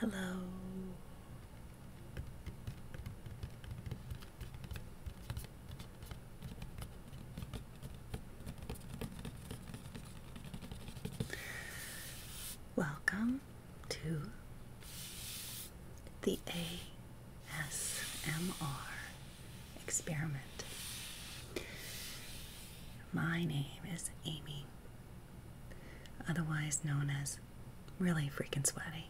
Hello. Welcome to the ASMR experiment. My name is Amy, otherwise known as Really Freaking Sweaty.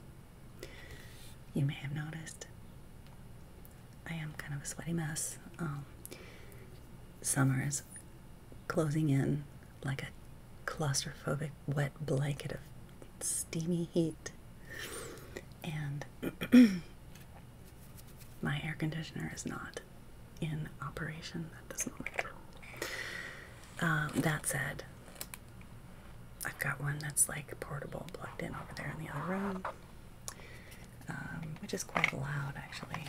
You may have noticed I am kind of a sweaty mess. Um, summer is closing in like a claustrophobic wet blanket of steamy heat. And My air conditioner is not in operation That does not Um, that said, I've got one that's like portable plugged in over there in the other room, um, which is quite loud actually,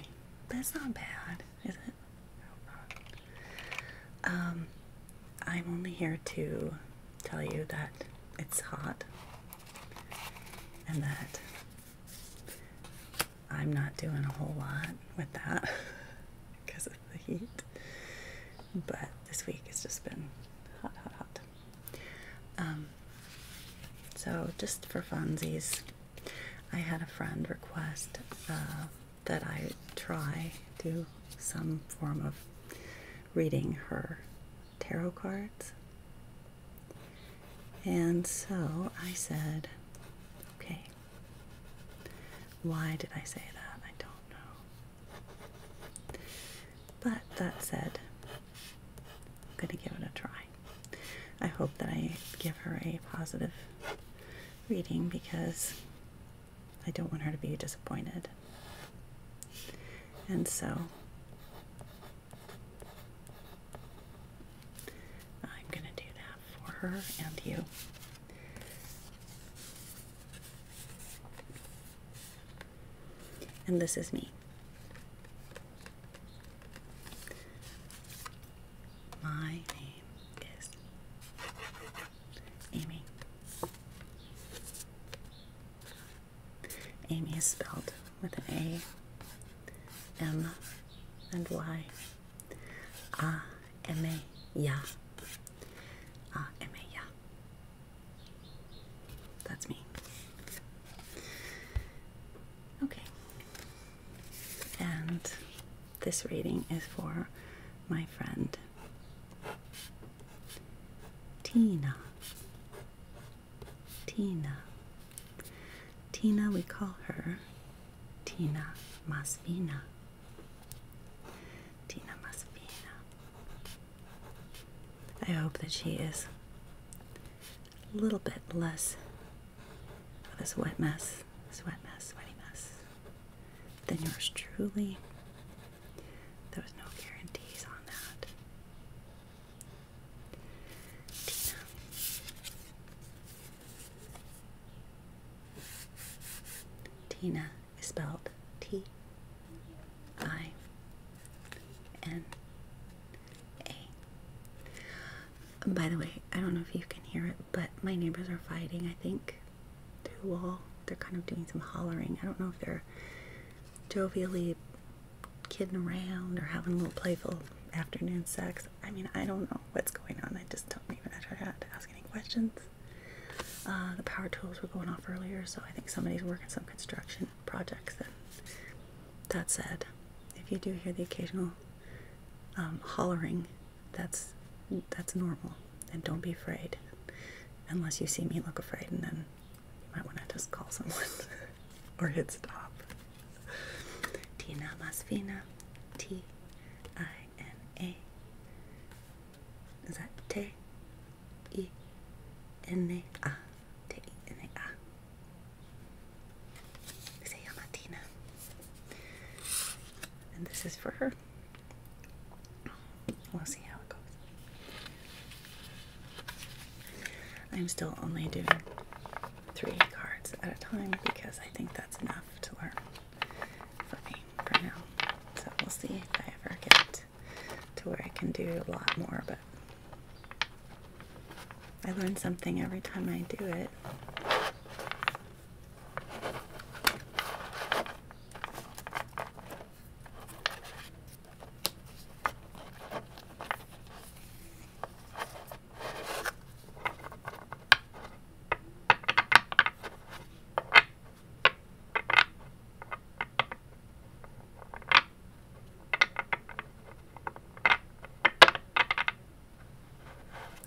That's not bad, is it? Um, I'm only here to tell you that it's hot and that I'm not doing a whole lot with that because of the heat. But this week it's just been hot, hot, hot. Um, so, just for funsies, I had a friend request uh, that I try do some form of reading her tarot cards. And so I said, okay. Why did I say that? I don't know. But that said, I'm going to give it a try. I hope that I give her a positive reading because I don't want her to be disappointed. And so I'm going to do that for her and you. And this is me. My name is Amy. Amy is spelled with an A, M, and Y. A, M, A, Ya. A, M, A, Ya. That's me. Okay. And this reading is for my friend Tina. Tina. Tina, we call her Tina Masvina. Tina Masvina. I hope that she is a little bit less of this wet mess, this wet mess, sweaty mess than yours truly. There was no guarantees on that. Tina. Tina is spelled T I N A. By the way, I don't know if you can hear it, but my neighbors are fighting, I think, through the wall. They're kind of doing some hollering. I don't know if they're jovially kidding around or having a little playful afternoon sex. I mean, I don't know what's going on. I just don't even to ask any questions. Uh, the power tools were going off earlier, so I think somebody's working some construction projects. And that said, if you do hear the occasional um, hollering, that's that's normal, and don't be afraid. Unless you see me look afraid, and then you might want to just call someone or hit stop. Tina Masfina. T I N A. Is that T E N A? T E N A. Se llama Tina. And this is for her. We'll see how it goes. I'm still only doing three cards at a time because I think that's enough to learn for me for now. So we'll see if I ever get to where I can do a lot more, but I learn something every time I do it.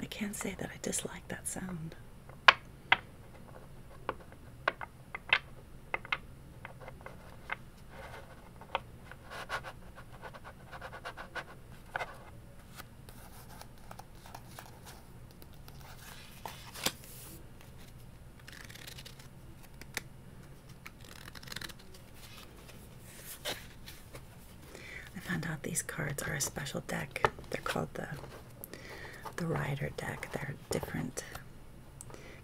I can't say that I dislike that sound. I found out these cards are a special deck. They're called the the rider deck. They're different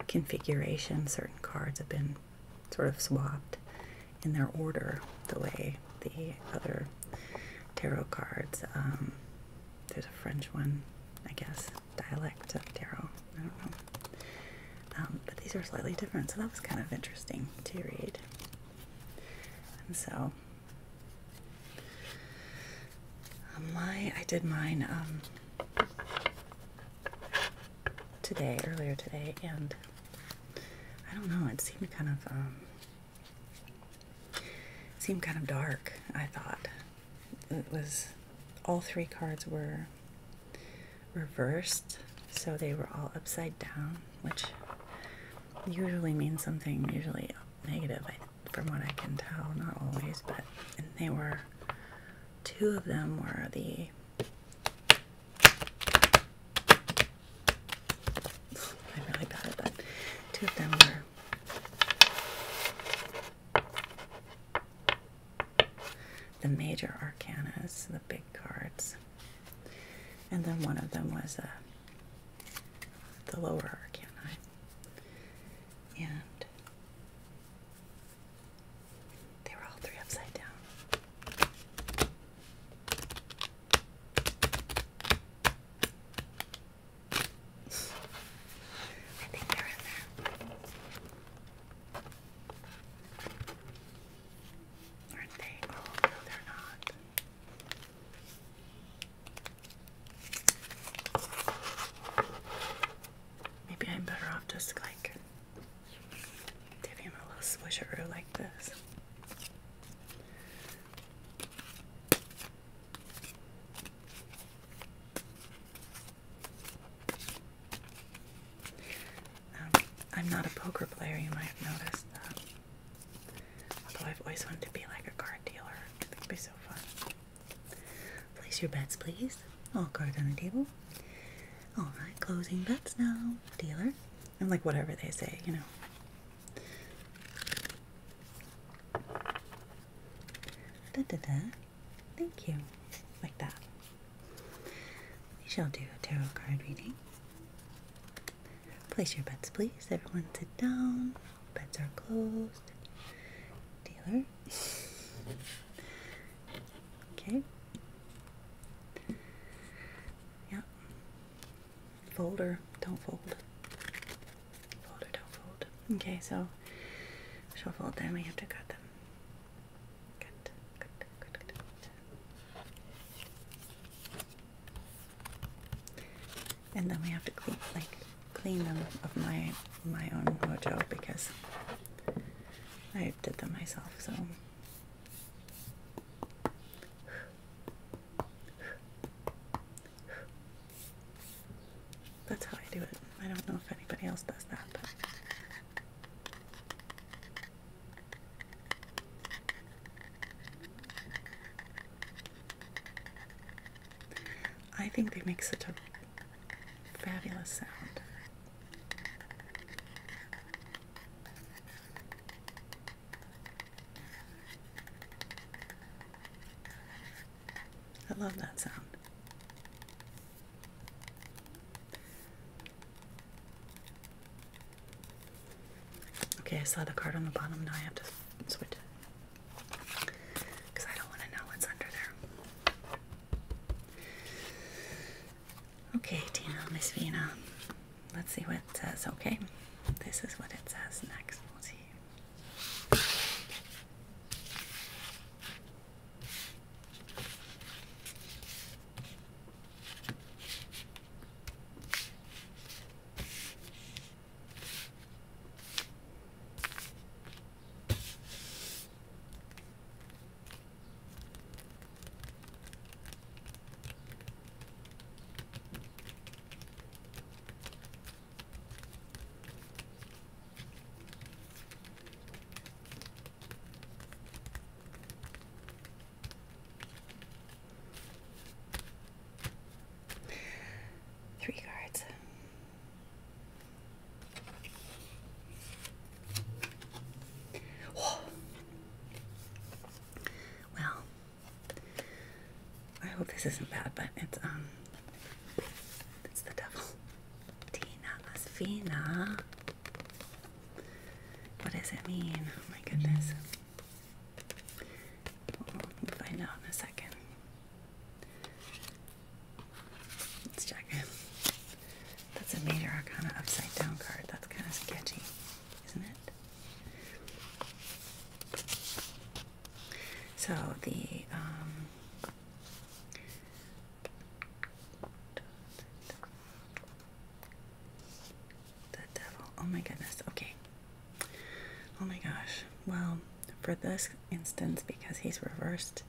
configurations. Certain cards have been sort of swapped in their order the way the other tarot cards. Um, there's a French one, I guess, dialect of tarot. I don't know. Um, but these are slightly different, so that was kind of interesting to read. And so, um, my I did mine today, earlier today, and I don't know, it seemed kind of um seemed kind of dark, I thought. It was all three cards were reversed, so they were all upside down, which usually means something usually negative, I, from what I can tell, not always, but they were two of them were the I'm really bad at that. Two of them were. The major arcanas, the big cards, and then one of them was uh, the lower arcana, and they were all three upside down. I think they're in there. Aren't they? Oh, no, they're not. Maybe I'm better off just like Give him a little swisheroo like this. Um, I'm not a poker player, you might have noticed Though I've always wanted to be like a card dealer. I think it'd be so fun. Place your bets, please. All cards on the table. All right, closing bets now, dealer. I'm like whatever they say, you know. Da da da. Thank you. Like that. We shall do a tarot card reading. Place your bets, please. Everyone sit down. Bets are closed. Dealer, okay. Yeah. Folder, don't fold. Folder, don't fold. Okay, so shuffle then we have to cut them. cut, cut, cut, cut. And then we have to clean like clean them of my my own mojo because I did them myself, so. That's how I do it. I don't know if anybody else does that, but. I think they make such a Fabulous sound. I love that sound. Okay, I saw the card on the bottom. Now I have to switch it because I don't want to know what's under there. Okay, Tina, Miss Vina. Let's see what it says, okay? This is what it says next. We'll see. Three cards. Well, I hope this isn't bad, but it's um, it's the devil. Tina Asfina. What does it mean? Oh my goodness. We'll find out in a second. Let's check That's a major arcana upside down card. That's kind of sketchy, isn't it? So the um, the devil. Oh my goodness. Okay. Oh my gosh. Well, for this instance, because he's reversed,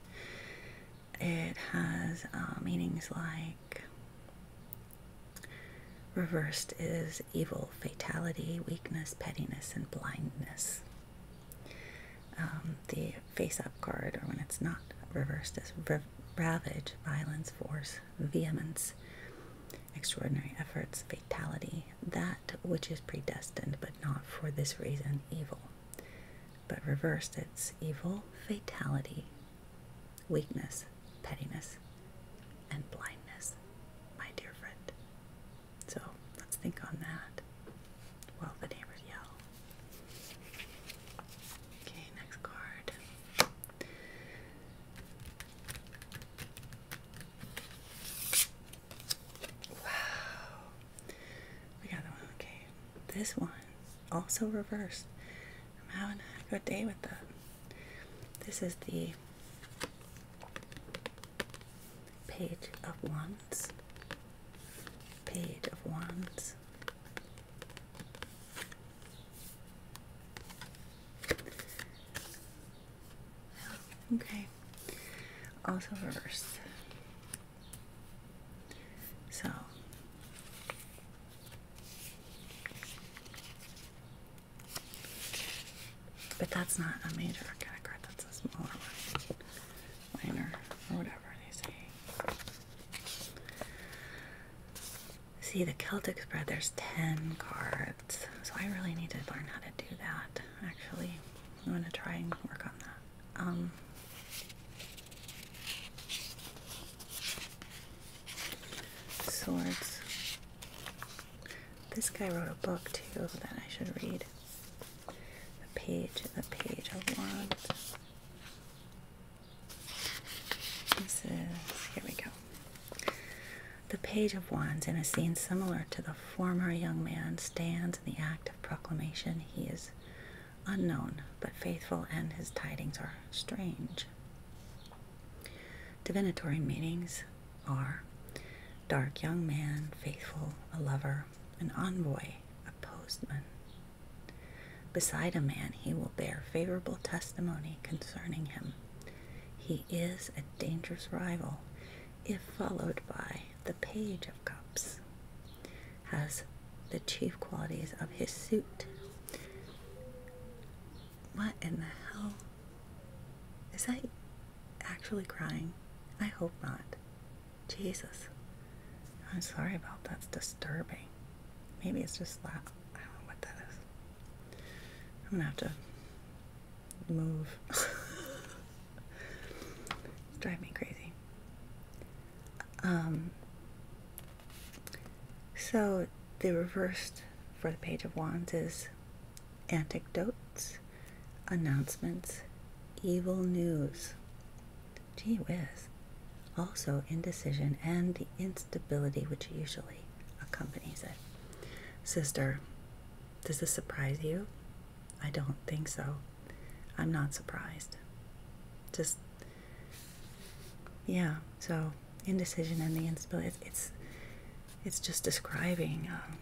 it has uh, meanings like reversed is evil, fatality, weakness, pettiness, and blindness. Um, the face up card, or when it's not reversed, is ravage, violence, force, vehemence, extraordinary efforts, fatality, that which is predestined but not for this reason, evil but reversed its evil fatality, weakness, pettiness, and blindness, my dear friend. So let's think on that while the neighbors yell. Okay, next card. Wow, we got the one, okay. This one, also reversed. I'm having a good day with that. This is the Page of Wands. Page of Wands. Okay. Also reversed. So but that's not a major arcana card, that's a smaller one. Minor or whatever they say. See the Celtic spread, there's ten cards. So I really need to learn how to do that actually. I'm to try and work on that. Um, swords. This guy wrote a book too that I should read. The page, the page of wands. This is here we go. The page of wands, in a scene similar to the former young man, stands in the act of proclamation. He is unknown but faithful, and his tidings are strange. Divinatory meanings are dark young man, faithful, a lover, an envoy, a postman. Beside a man, he will bear favorable testimony concerning him. He is a dangerous rival if followed by the Page of Cups has the chief qualities of his suit. What in the hell? Is that actually crying? I hope not. Jesus. I'm sorry about that. That's disturbing. Maybe it's just that. I don't know what that is. I'm gonna have to move. it's driving me crazy. Um, so the reversed for the Page of Wands is anecdotes, announcements, evil news. Gee whiz. Also indecision and the instability which usually accompanies it. Sister, does this surprise you? I don't think so. I'm not surprised. Just yeah, so indecision and the instability, it's, it's, just describing, um,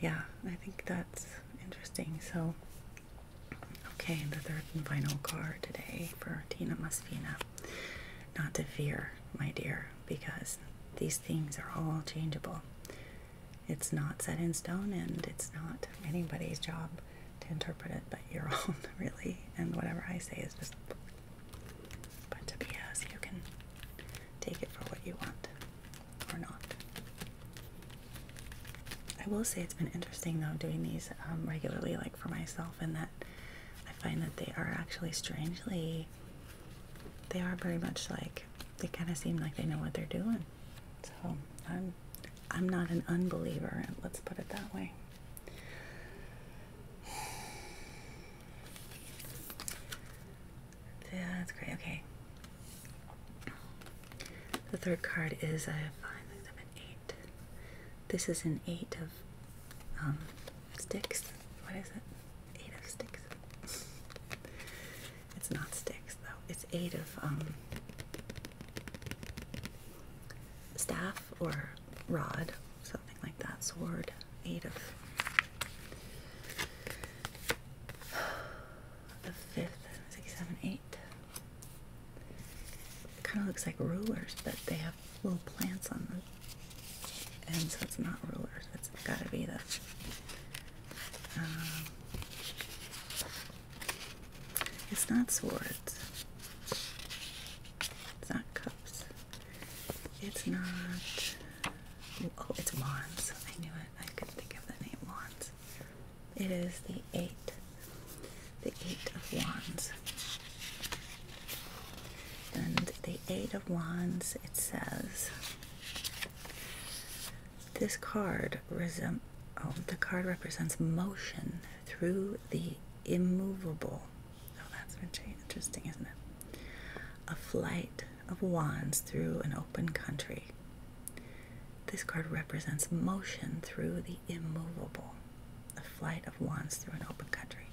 yeah, I think that's interesting. So, okay, the third and final card today for Tina Masfina. Not to fear, my dear, because these things are all changeable. It's not set in stone and it's not anybody's job to interpret it but your own, really. And whatever I say is just a bunch of BS. You can take it for what you want or not. I will say it's been interesting though doing these um, regularly, like for myself, and that I find that they are actually strangely, they are very much like, they kind of seem like they know what they're doing. So I'm I'm not an unbeliever, let's put it that way. Yeah, that's great. Okay. The third card is I have five, six, seven, eight. This is an eight of um, sticks. What is it? Eight of sticks. It's not sticks though. It's eight of um, staff or rod, something like that, sword, eight of. The fifth, six, seven, eight. Kind of looks like rulers, but they have little plants on them. And so it's not rulers. It's gotta be the. Um, it's not swords. It's not cups. It's not. Oh, it's wands. I knew it. I couldn't think of the name wands. It is the eight. The eight of wands. And the eight of wands, it says this card resem oh, the card represents motion through the immovable. Oh, that's very interesting, isn't it? A flight of wands through an open country. This card represents motion through the immovable. A flight of wands through an open country.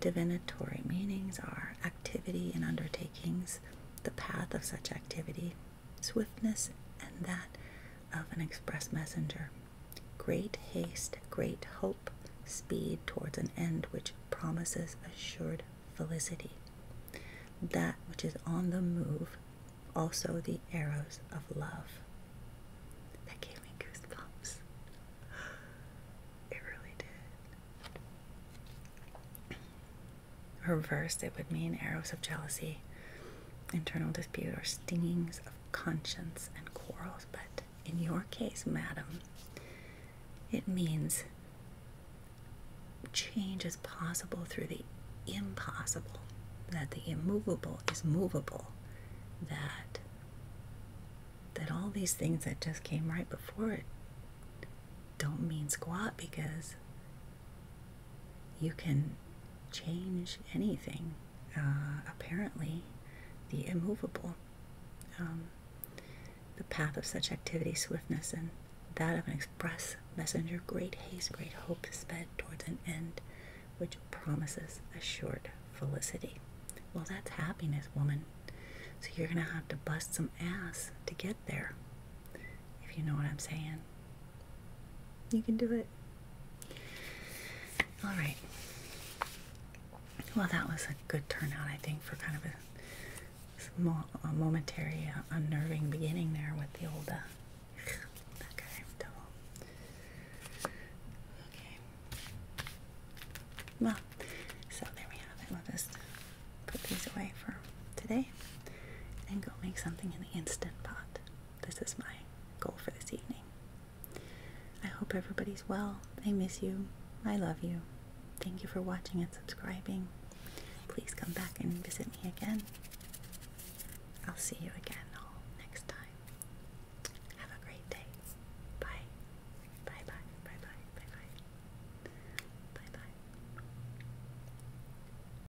Divinatory meanings are activity and undertakings, the path of such activity, swiftness and that of an express messenger. Great haste, great hope, speed towards an end which promises assured felicity. That which is on the move, also the arrows of love. That gave me goosebumps. It really did reversed, it would mean arrows of jealousy, internal dispute, or stingings of conscience and quarrels. But in your case, madam, it means change is possible through the impossible, that the immovable is movable, that that all these things that just came right before it don't mean squat because you can change anything, uh, apparently, the immovable. Um, the path of such activity, swiftness, and that of an express messenger, great haste, great hope, sped towards an end which promises assured felicity. Well, that's happiness, woman. So you're going to have to bust some ass to get there, if you know what I'm saying. You can do it. All right. Well, that was a good turnout, I think, for kind of a, momentary, uh, unnerving beginning there with the old uh, that guy Okay. Well, so there we have it. We'll just put these away for today, and go make something in the instant pot this is my goal for this evening. I hope everybody's well. I miss you. I love you. Thank you for watching and subscribing. Please come back and visit me again. I'll see you again next time. Have a great day. Bye bye. Bye bye. Bye bye. Bye bye.